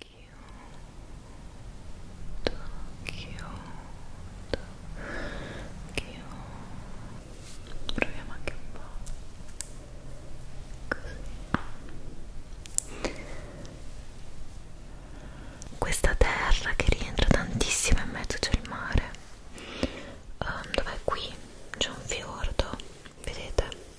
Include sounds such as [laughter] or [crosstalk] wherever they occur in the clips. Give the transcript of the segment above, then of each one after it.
Chiudo, chiudo, chiudo. Proviamo anche un po'. Così. Questa terra che rientra tantissimo in mezzo c'è il mare. Um, Dov'è qui? C'è un fiordo, vedete?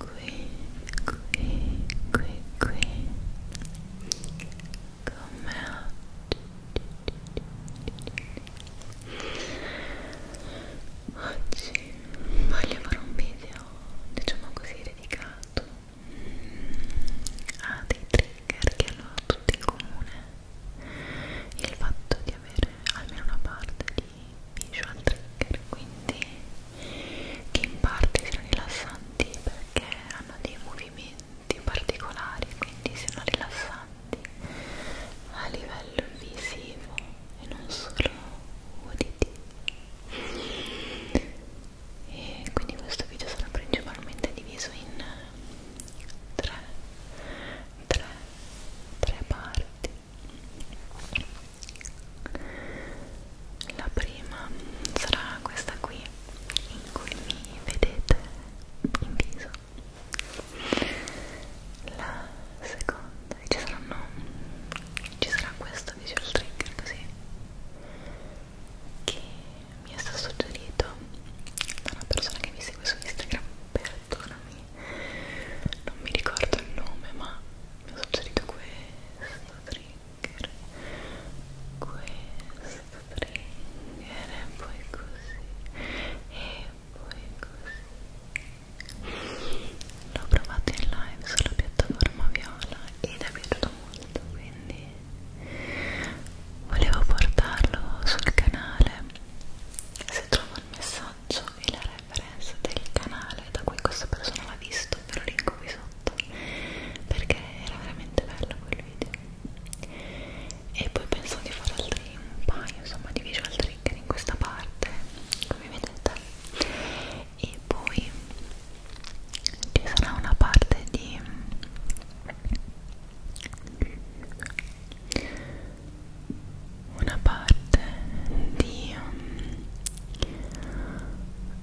qui, qui, qui, qui come oggi oggi voglio fare un video diciamo così dedicato a dei trigger che hanno tutti in comune il fatto di avere almeno una parte di dei visual trigger quindi che in parte sono rilassanti perché hanno dei movimenti particolari quindi sono rilassanti a livello visivo e non solo uditivo e quindi questo video sarà principalmente diviso in tre, tre, tre parti la prima sarà questa qui, in cui mi vedete in viso. La seconda, ci saranno, ci sarà questo visual trigger così, che mi è stato suggerito da una persona che mi segue su Instagram, perdonami anni non mi ricordo il nome ma mi ha suggerito questo trigger questo trigger e poi così e poi così l'ho provato in live sulla piattaforma viola ed è piaciuto molto quindi volevo portarlo sul canale se trovo il messaggio l'aggancio e la reference del canale da cui questa persona l'ha visto ve lo linko qui sotto perché era veramente bello quel video e poi penso di fare altri un paio insomma di visual trigger in questa parte come vedete e poi ci sarà una parte di una parte di um,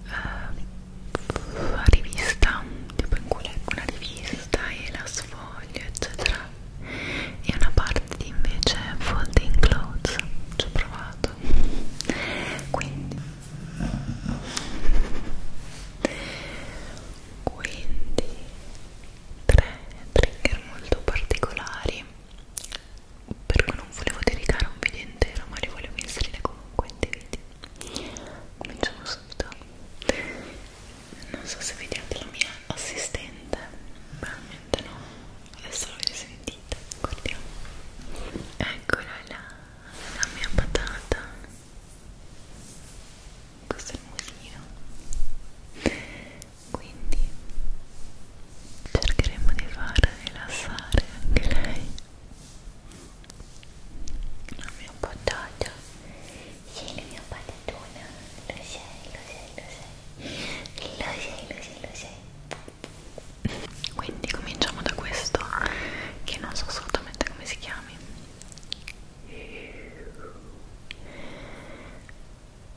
uh, rivista tipo in cui leggo una rivista e la sfoglio eccetera e una parte di invece folding clothes ci ho provato quindi quindi tre trigger molto particolari per cui non volevo dedicare un video intero ma li volevo inserire comunque in dei video cominciamo subito non so se vediate la mia assistente probabilmente no adesso l'avete sentita guardiamo eccola là la mia patata questo è il musino quindi cercheremo di far rilassare anche lei la mia patata sei la mia patatona lo sei, lo sei, lo sei lo sei, lo sei, lo sei quindi cominciamo da questo che non so assolutamente come si chiami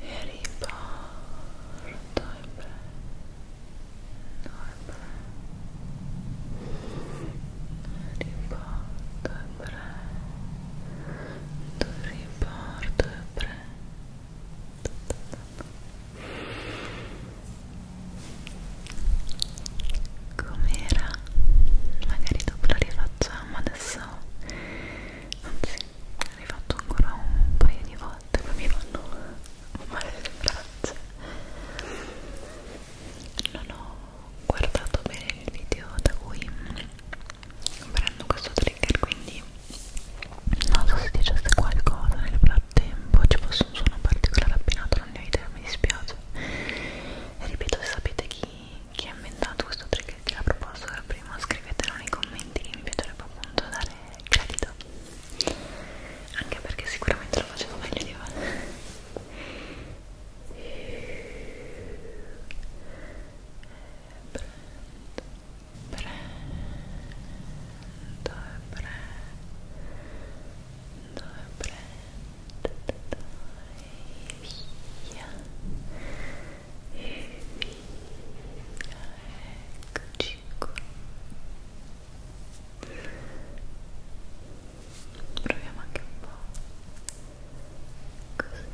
e riporto il braccio riporto il braccio riporto il braccio com'era? magari dopo la rifacciamo adesso anzi l'hai fatto ancora un paio di volte poi mi fanno male le braccia non ho guardato bene il video da cui prendo questo trigger quindi non so se dicesse qualcosa nel frattempo ci fosse un suono particolare appinato non ne ho idea mi dispiace e ripeto se sapete chi, chi ha inventato questo trigger te la proposto ora prima scrivetelo nei commenti mi piacerebbe appunto dare credito anche perché sicuramente lo facevo meglio di voi prendo prendo prendo prendo e via e via, eccoci qua proviamo anche un po' così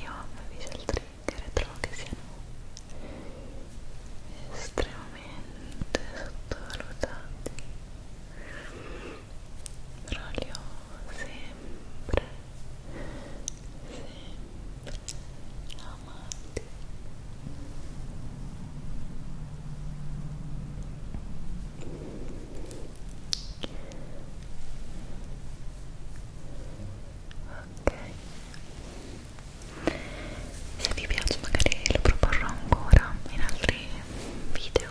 io amo i visual trigger trovo che siano estremamente sottovalutati però li ho sempre sempre amati ok se vi piace magari lo proporrò ancora in altri video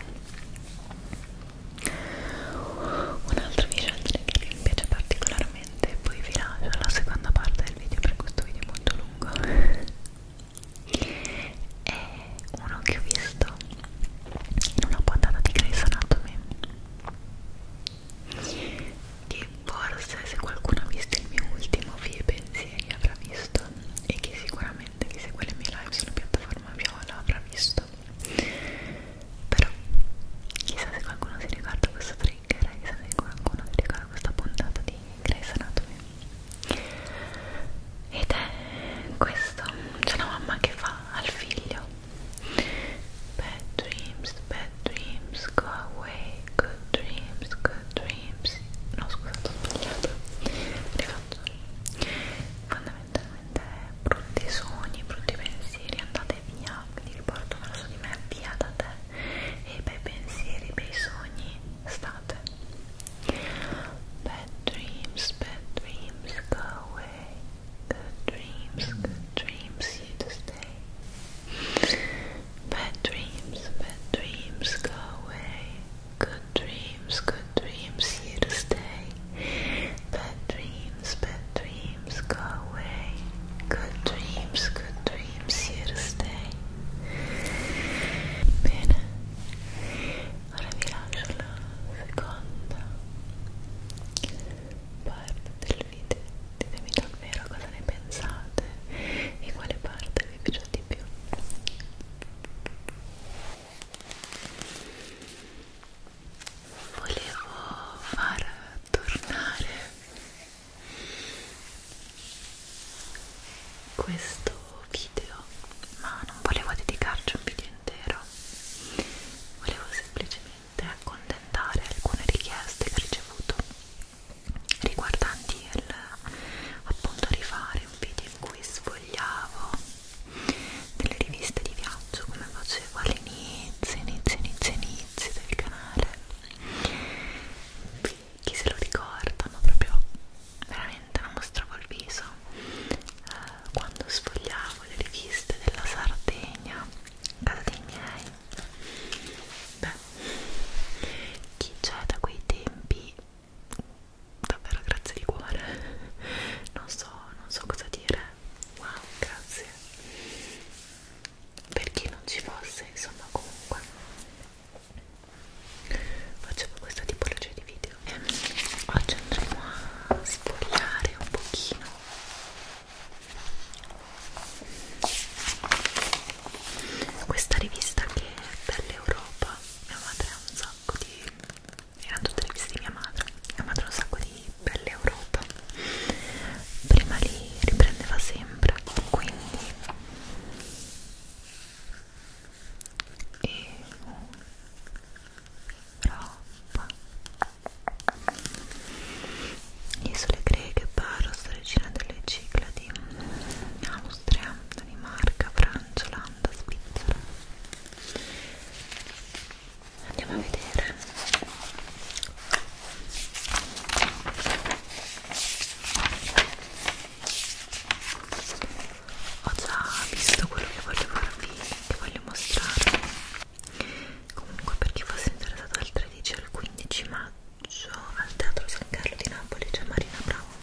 un'altra vicenda che mi piace particolarmente poi vi lascio la seconda parte del video perché questo video è molto lungo [laughs] è uno che ho visto in una puntata di Grey's Anatomy che forse se qualcuno ha visto il mio ultimo video pensieri avrà visto e che sicuramente chi segue le mie live sulla piattaforma viola avrà visto però chissà se qualcuno si ricorda questo trigger eh, chissà se qualcuno si ricorda questa puntata di Grey's Anatomy ed è questo c'è una mamma che fa al figlio bad dreams bad dreams go away good dreams good dreams no scusate ho sbagliato rifaccio fondamentalmente veramente brutti sogni, brutti pensieri, andate via, quindi riporto verso di me, via da te e i bei pensieri, i bei sogni, state bad dreams, bad dreams, go away good dreams, good dreams, you to stay bad dreams, bad dreams, go away good dreams, good dreams here to stay. Bad dreams, bad dreams go away. Good dreams, good dreams here to stay. Bene, ora vi lascio la seconda parte del video. Ditemi davvero cosa ne pensate e quale parte vi piace di più volevo far tornare questo video ma non volevo dedicarci un video intero volevo semplicemente accontentare alcune richieste che ho ricevuto riguardanti il appunto rifare un video in cui sfogliavo delle riviste di viaggio come facevo all'inizio, inizio, inizio, inizio del canale chi se lo ricorda ma proprio veramente non mostravo il viso eh, quando sfogliavo le riviste della Sardegna casa dei miei beh chi c'è da quei tempi davvero grazie di cuore [laughs] non so, non so cosa dire wow grazie per chi non ci fosse insomma comunque facciamo questa tipologia di video e oggi andremo a sfogliare un pochino questa rivista che è dell'Europa mia madre ha un sacco di erano tutte le visite di mia madre mia madre ha un sacco di belle Europa prima li riprendeva sempre quindi Europa isole greche, Paros, regina delle Cicladi Austria, Danimarca, Francia, Olanda, Svizzera andiamo a vedere ho già visto quello che voglio farvi che voglio mostrarvi comunque per chi fosse interessato dal 13 al 15 maggio al teatro San Carlo di Napoli c'è cioè Marina Abramovic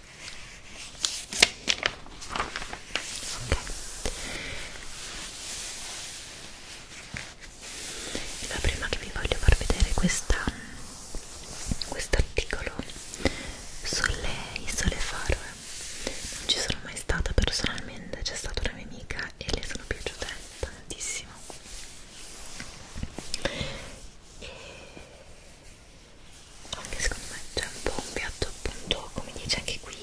ok la prima che vi voglio far vedere questa questo articolo sulle isole Faroe eh. non ci sono mai stata personalmente c'è stata una mia amica e le sono piaciute tantissimo e anche secondo me c'è un po' un piatto appunto come dice anche qui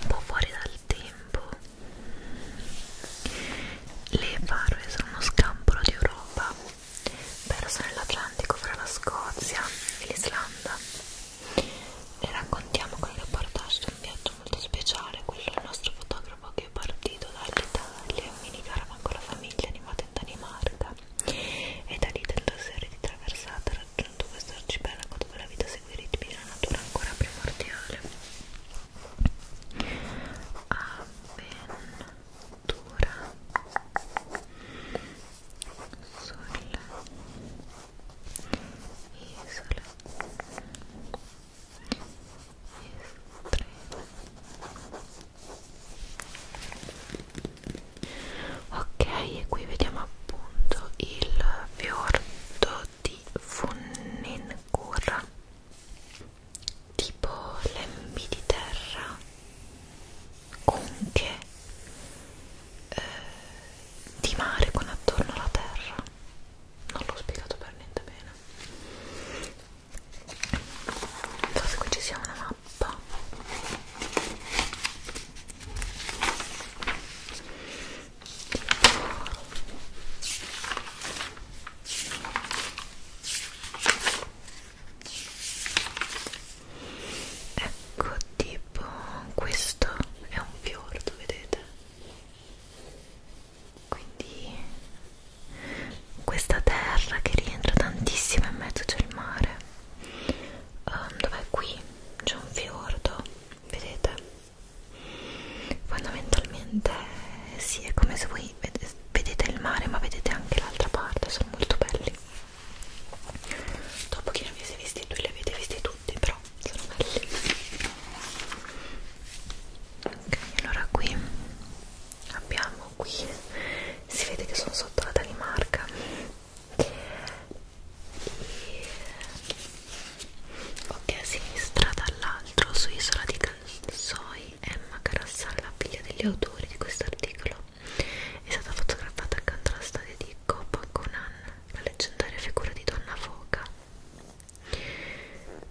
un po' fuori dal tempo le Faroe sono uno scampolo di Europa perso nell'Atlantico fra la Scozia e l'Islanda le raccontiamo con il reportage di un viaggio molto speciale quello del nostro fotografo che è partito dall'Italia in minicaravana con la famiglia animata in Danimarca e da lì tentò serie di traversate raggiunge sostenuto questo arcipelago dove la vita segue i ritmi della natura ancora primordiale. Avventura sulle isole estreme ok e qui vediamo appunto il fiordo di Funningur tipo lembi di terra conche eh, di mare con attorno alla terra non l'ho spiegato per niente bene non so se qui ci sia una mappa ecco tipo questo è un fiordo vedete quindi questa terra che rientra tantissimo in mezzo c'è il mare um, dov'è qui c'è un fiordo vedete fondamentalmente sì è come se voi vedete il mare ma vedete anche l'altra parte sono molto belli dopo che ne avete visti due li avete visti tutti però sono belli ok allora qui abbiamo qui si vede che sono sotto la Danimarca ok a sinistra dall'altro su Isola di Cansoi Emma Carassale, la figlia degli autori di questo articolo è stata fotografata accanto alla stadia di Copaconan la leggendaria figura di Donna Foca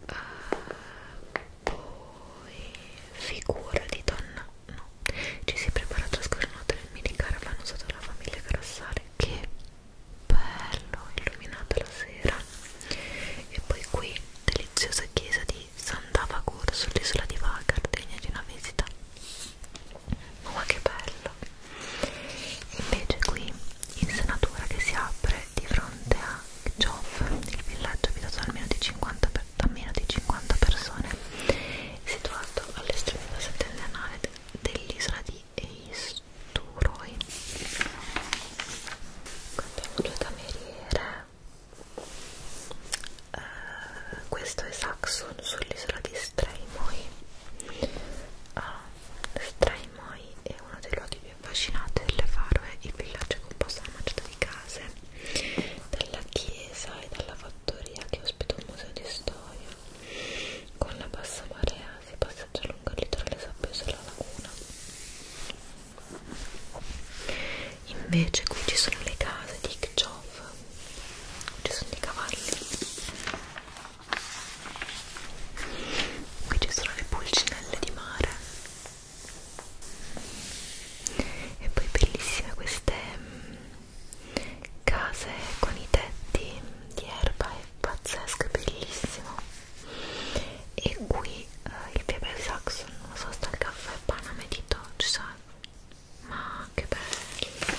uh, poi figura di Donna no, no ci si prepara a trascorrere una notte nel mini caravan usato dalla famiglia Grassale che bello, illuminata la sera e poi qui, deliziosa chiesa di Sant'Avagur sull'isola di Vagar, degna di una visita oh, ma che bello invece qui, insenatura che si apre di fronte a Joff, il villaggio abitato da almeno di 50 persone per, da meno di 50 persone situato all'estremità settentrionale dell'isola di Eisturoi. Abbiamo due cameriere. Uh, questo è Saxon sull'isola di Straimoi. Uh, ah, Straimoi è uno dei luoghi più affascinanti delle Faroe, il villaggio è composto da una manciata di case, dalla chiesa e dalla fattoria che ospita un museo di storia storia. Con la bassa marea si passeggia lungo il litorale sabbioso della laguna. Invece qui ci sono le case di Kjov, ci sono i cavalli. Qui ci sono le pulcinelle di mare e poi bellissime queste mm, case con i tetti di erba è pazzesco, è bellissimo e qui eh, il Piebel Saxon, non so sta il caffè Paname di Dodge ma che bello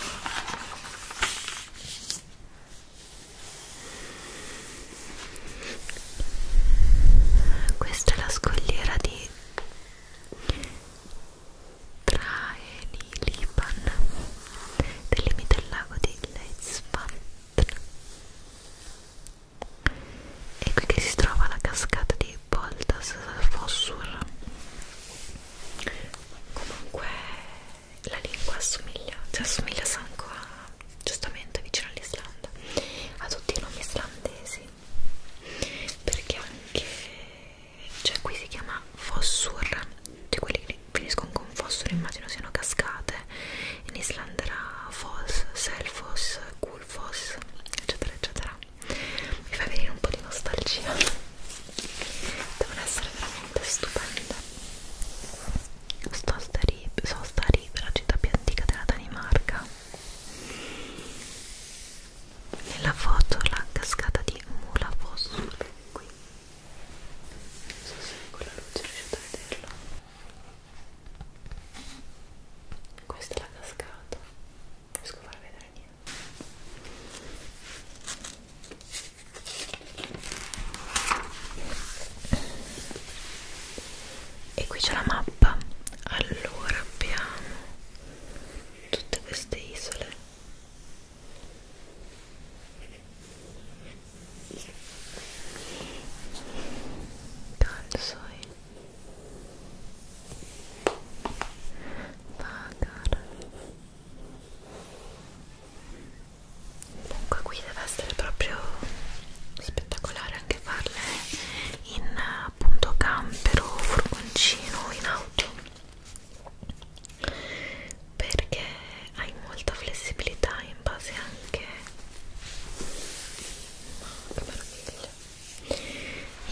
questa è la scogliera di tra Liban del limite del lago di Leitzfand è qui che si trova la cascata di Boldas Fossur comunque la lingua assomiglia cioè assomiglia Sanco a giustamente vicino all'Islanda a tutti i nomi islandesi perché anche cioè qui si chiama fossur cioè quelli che finiscono con fossur immagino siano cascate in Islanda era foss, selfos, gulfos eccetera eccetera mi fa venire un po' di nostalgia devono essere veramente stupende sosta rib, sosta rib la città più antica della Danimarca nella foto la cascata di Mula Fosso qui non so se con la luce riuscite a vederlo questa è la cascata non riesco a far vedere niente e qui c'è la mappa allora abbiamo tutte queste isole Calzoi Vagar Comunque qui deve essere proprio spettacolare anche farle in appunto camper o furgoncino in auto perché hai molta flessibilità in base anche che meraviglia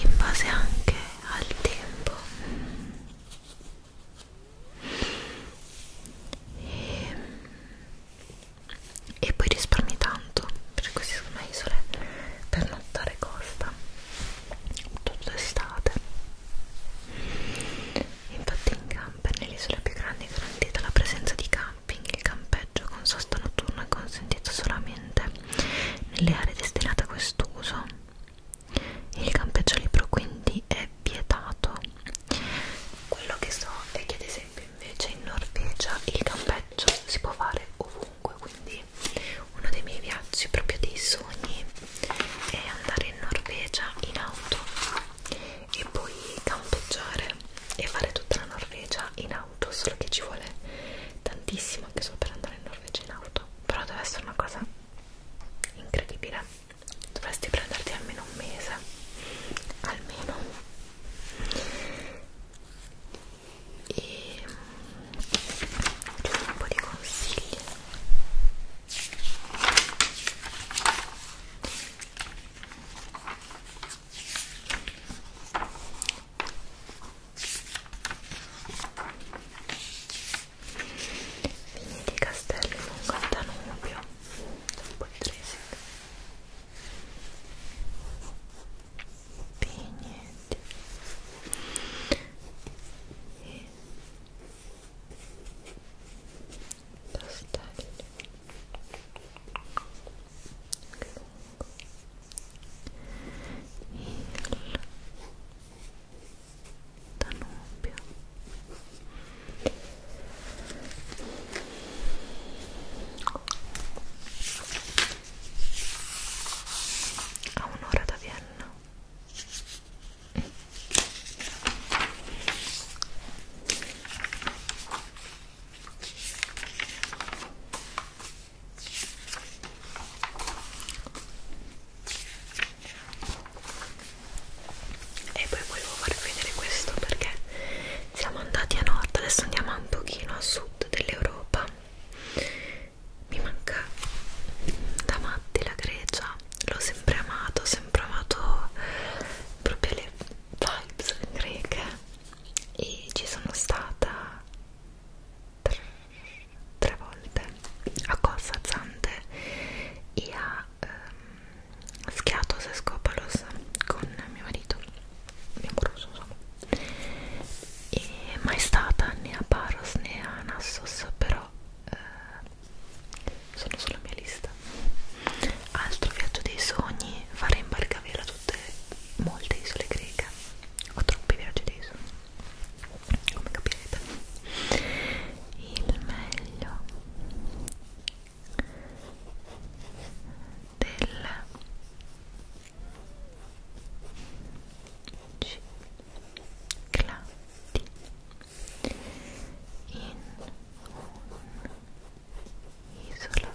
in base anche al tempo e, e poi risparmi tanto perché queste sono isole per nottare costa tutta l'estate infatti in camper nell'isola più grande è garantita la presenza di camping il campeggio con sosta notturna è consentito solamente nelle aree destinate a quest'uso il campeggio libero quindi è vietato quello che so è che ad esempio invece in Norvegia il campeggio si può fare ovunque quindi uno dei miei viaggi proprio dei sogni è andare in Norvegia in auto e poi campeggiare e fare tutta la Norvegia in auto solo che ci vuole tantissimo anche solo per andare in Norvegia in auto però deve essere una cosa incredibile dovresti prenderti almeno un mese almeno e ti do un po' di consigli. Vini di castello lungo il Danubio, un po' di dressing. Vignetti e pastello il Danubio a un'ora da Vienna e poi volevo farvi vedere questo perché siamo andati a nord adesso andiamo un pochino a sud dell'Europa mi manca da matti la Grecia l'ho sempre amato ho sempre amato proprio le vibes greche e ci sono stata tre, tre volte a Costa Zante e a ehm, Schiatos e Scopalos con mio marito mio amoroso insomma e mai stata né a Paros né a Nassos però eh, sono sulla mia lista altro viaggio dei sogni fare in barcavela tutte molte isole greche ho troppi viaggi dei sogni come capirete il meglio del 10 clatti in un'isola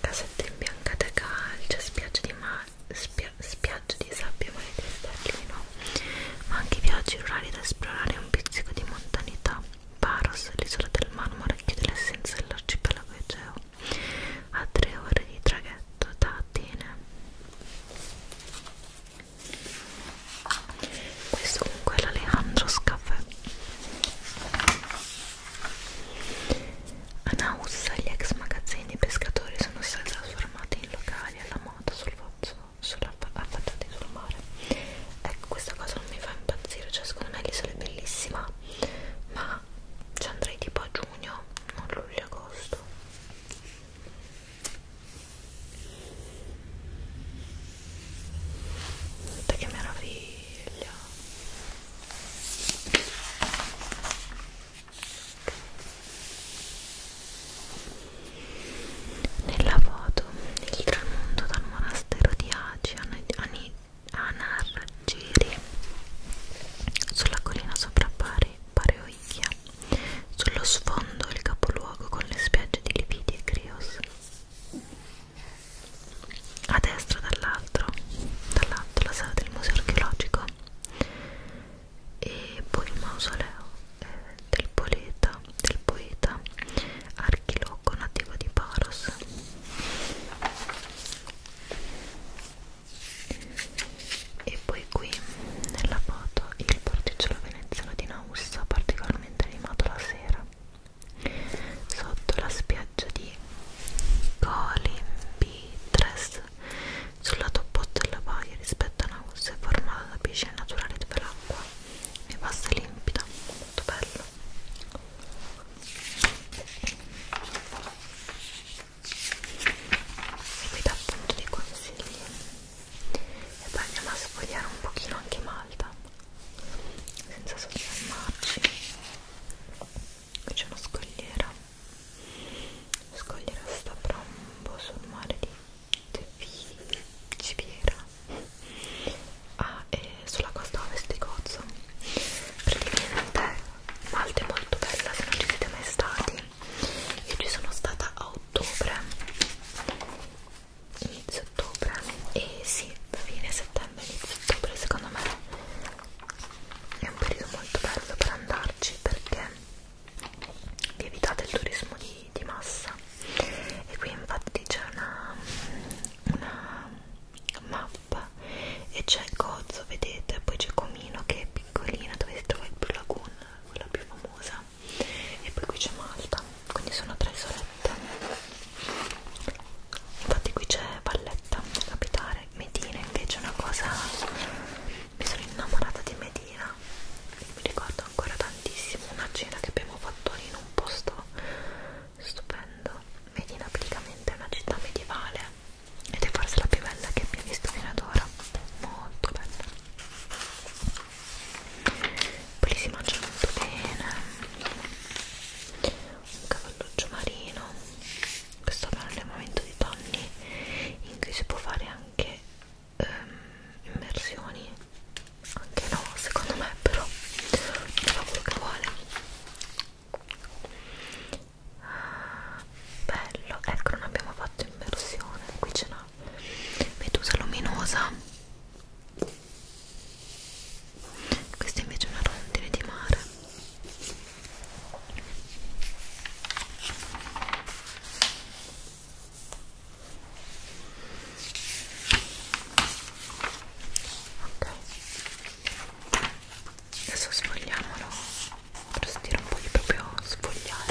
casetta imbiancata calcia spiaggia di, spia spiaggia di sabbia mare di sterlino ma anche viaggi rurali da esplorare un pizzico di montanità Paros, l'isola del marmo, racchiude l'essenza dell'arcipelago Egeo a tre ore di traghetto da Atene questo comunque è l'Alejandro's Caffè a Nausa gli ex magazzini dei pescatori sono stati trasformati in locali alla moda sul affacciati sul mare ecco questa cosa non mi fa impazzire cioè secondo me l'isola è bellissima ma ci andrei tipo a giugno non luglio agosto tempo certo. Guarda che meraviglia nella foto il tramonto dal monastero di Agi a Nargiri sulla collina sopra Bari Pareoia sullo sfondo il capoluogo con le spiagge di Lividi e Crios a destra dall'altro dall'alto la sala del museo archeologico e poi il mausoleo eh, del poeta del poeta archiloco nativo di Paros e poi qui nella foto il porticciolo veneziano di Naussa particolarmente animato la sera sotto la spiaggia di Colimbitres sul lato opposto della baia rispetto a Naussa è formata da piscine naturali dove l'acqua è bassa e limpida molto bello e qui dà appunto dei consigli e poi andiamo a sfogliare un pochino anche Malta senza soffermarci qui c'è una scogliera la scogliera sta proprio sul mare di Tevi Civiera ah, e sulla costa ovest di Cozzo praticamente Malta è molto bella se non ci siete mai stati io ci sono stata a ottobre inizio ottobre e sì, fine settembre inizio ottobre secondo me è un periodo molto bello per andarci perché vi evitate il turismo di, di massa e qui infatti c'è una, una mappa qua e c'è il cozzo vedete poi c'è Comino che è piccolina dove si trova il Blue Lagoon quella più famosa e poi qui c'è Malta quindi sono tre isolette infatti qui c'è Valletta la capitale Medina invece è una cosa mi sono innamorata di Medina mi ricordo ancora tantissimo una cena che abbiamo fatto lì in un posto stupendo Medina praticamente è una città medievale ed è forse la più bella che abbia visto fino ad ora molto bella poi si mangia molto bene un cavalluccio marino questo è un allevamento di tonni in cui si può fare anche um, immersioni anche no secondo me però fa quello che vuole bello ecco non abbiamo fatto immersione qui c'è una medusa luminosa questa invece è una rondine di mare ok adesso sfogliamolo per sentire un po' di proprio sfogliare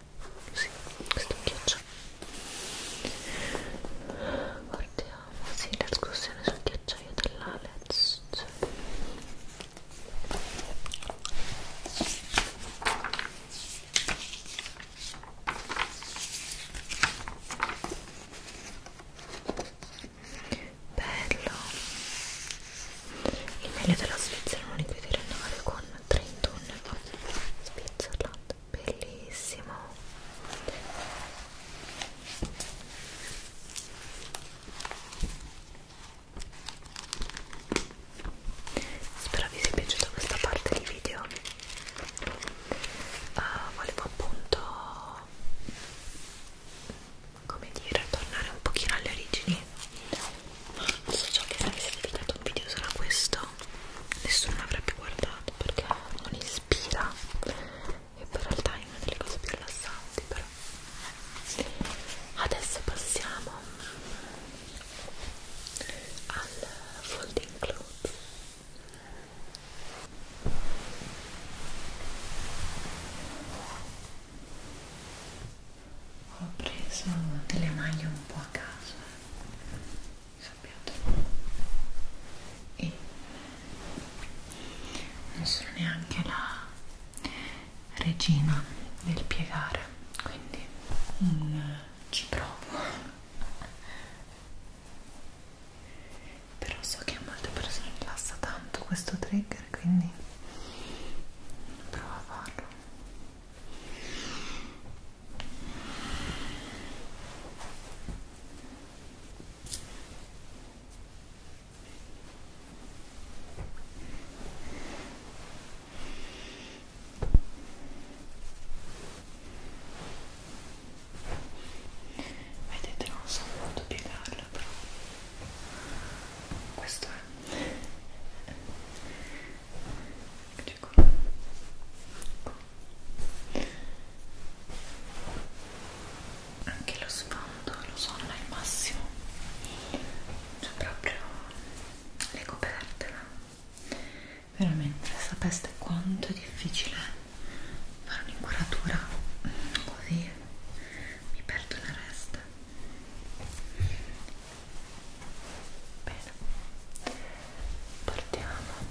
Sì, questo ghiaccio. Guardiamo, sì, l'escursione sul ghiacciaio dell'Alex. Cioè. Bello. Il meglio della Svizzera non liquidi rinnovare con 31 euro. Svizzera bellissimo spero vi sia piaciuta questa parte di video uh, volevo appunto come dire tornare un pochino alle origini ma so già che se avete dedicato un video solo a questo nessuno l'avrebbe guardato perché non ispira e poi in realtà è una delle cose più rilassanti però adesso passiamo al folding clothes ho preso delle maglie un po' a caso sappiate e non sono neanche la regina del piegare quindi mm, ci provo però so che a molte persone rilassa tanto questo trigger quindi provo a farlo Vedete, non so molto piegarla, però questo è Eccoci qua. Anche lo sfondo, lo so, non è il massimo. C'è proprio le coperte, ma veramente sapeste quanto è difficile fare un'incuratura così mi perdo la resta Bene, partiamo.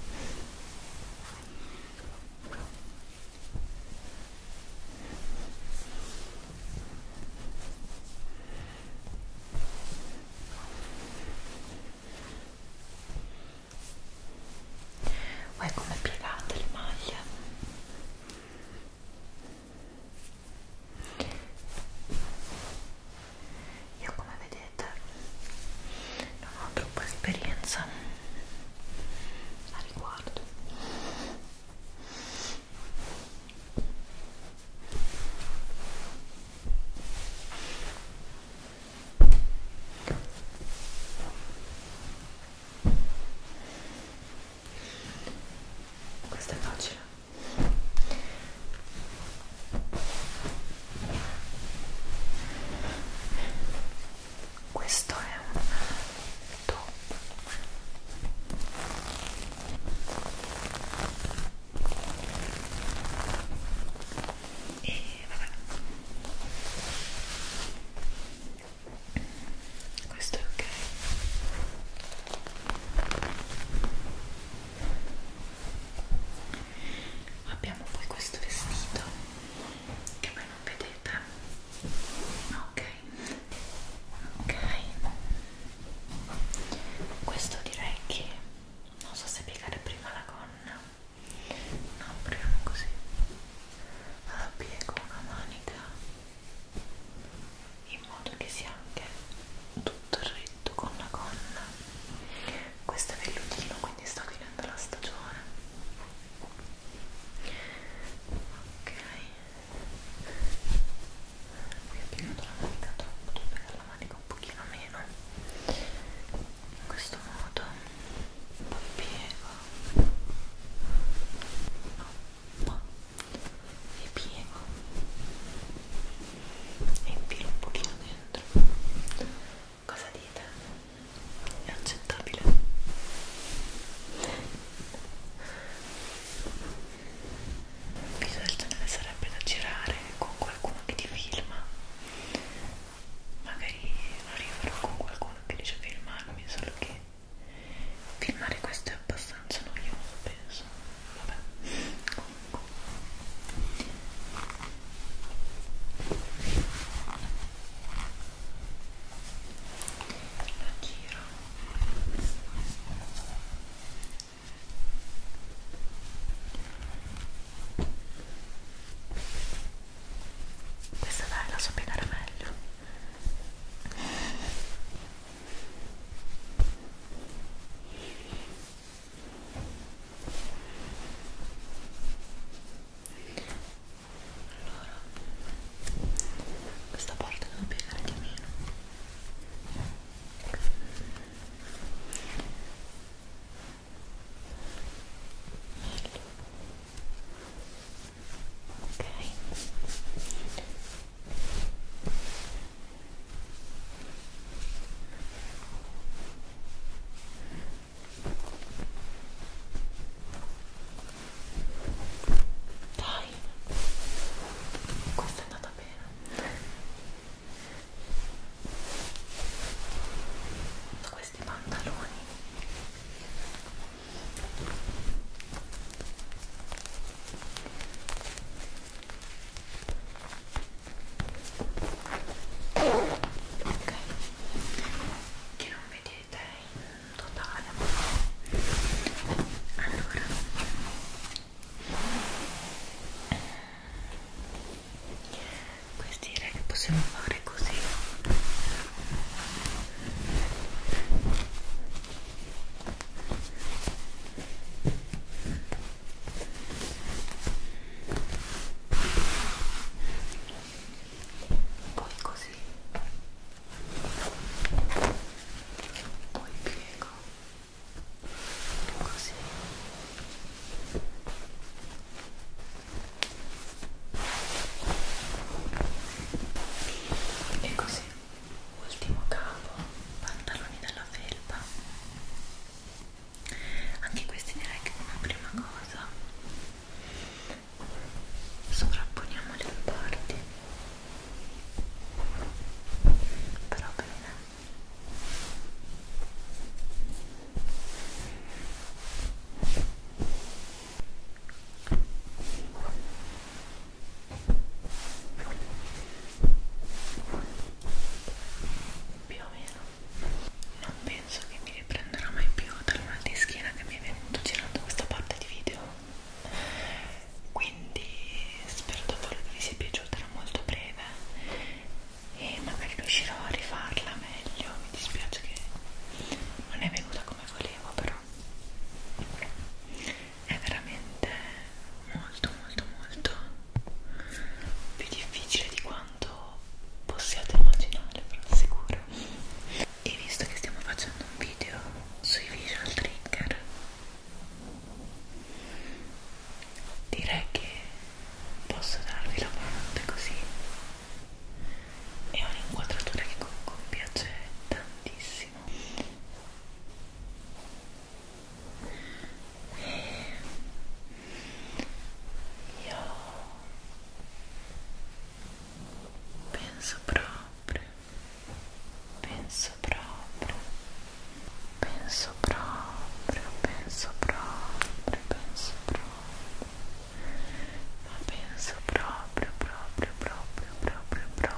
Vuoi come piegate le maglie? io come vedete non ho troppa esperienza a riguardo questo è facile questo è un top e vabbè questo è ok abbiamo poi questo vestito che voi non vedete ok ok questo direi che non so se piegare prima la gonna no proviamo così allora piego una manica in modo che sia anche tutto retto con la gonna questo è vellutino quindi sta finendo la stagione ok qui ho piegato la manica troppo devo piegare la manica un pochino meno in questo modo poi piego e piego e infilo un pochino dentro cosa dite? è accettabile? un video del genere sarebbe da girare con qualcuno che ti filma magari arriverò con qualcuno che dice filmarmi solo che filmare questo è abbastanza noioso penso vabbè bianco lo giro questa dai la so piegare meglio allora questa parte devo piegare di meno ok dai, questa è andata bene. Questi pantaloni ok che non vedete in totale allora questi direi che possiamo fare così ok poi così poi piego così e così ultimo capo pantaloni della felpa anche questi direi che come prima cosa sovrapponiamo le due parti però bene ok più o meno non penso che mi riprenderò mai più dal mal di schiena che mi è venuto girando questa parte di video quindi spero davvero che vi sia piaciuta era molto breve e magari riuscirò a rifarla meglio mi dispiace che non è venuta come volevo però è veramente molto molto molto più difficile di quanto possiate immaginare, però sicuro. E visto che stiamo facendo un video sui visual trigger, direi che posso darvi la parte così. È un'inquadratura che comunque mi piace tantissimo. eu penso proprio, penso proprio, penso proprio, penso proprio, penso proprio, ma penso proprio, proprio, proprio, proprio, proprio.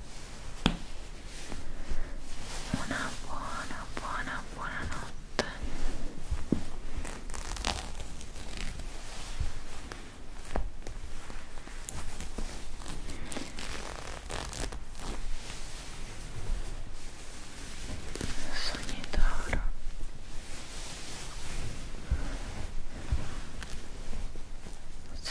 una buona buona buona notte sogni d'oro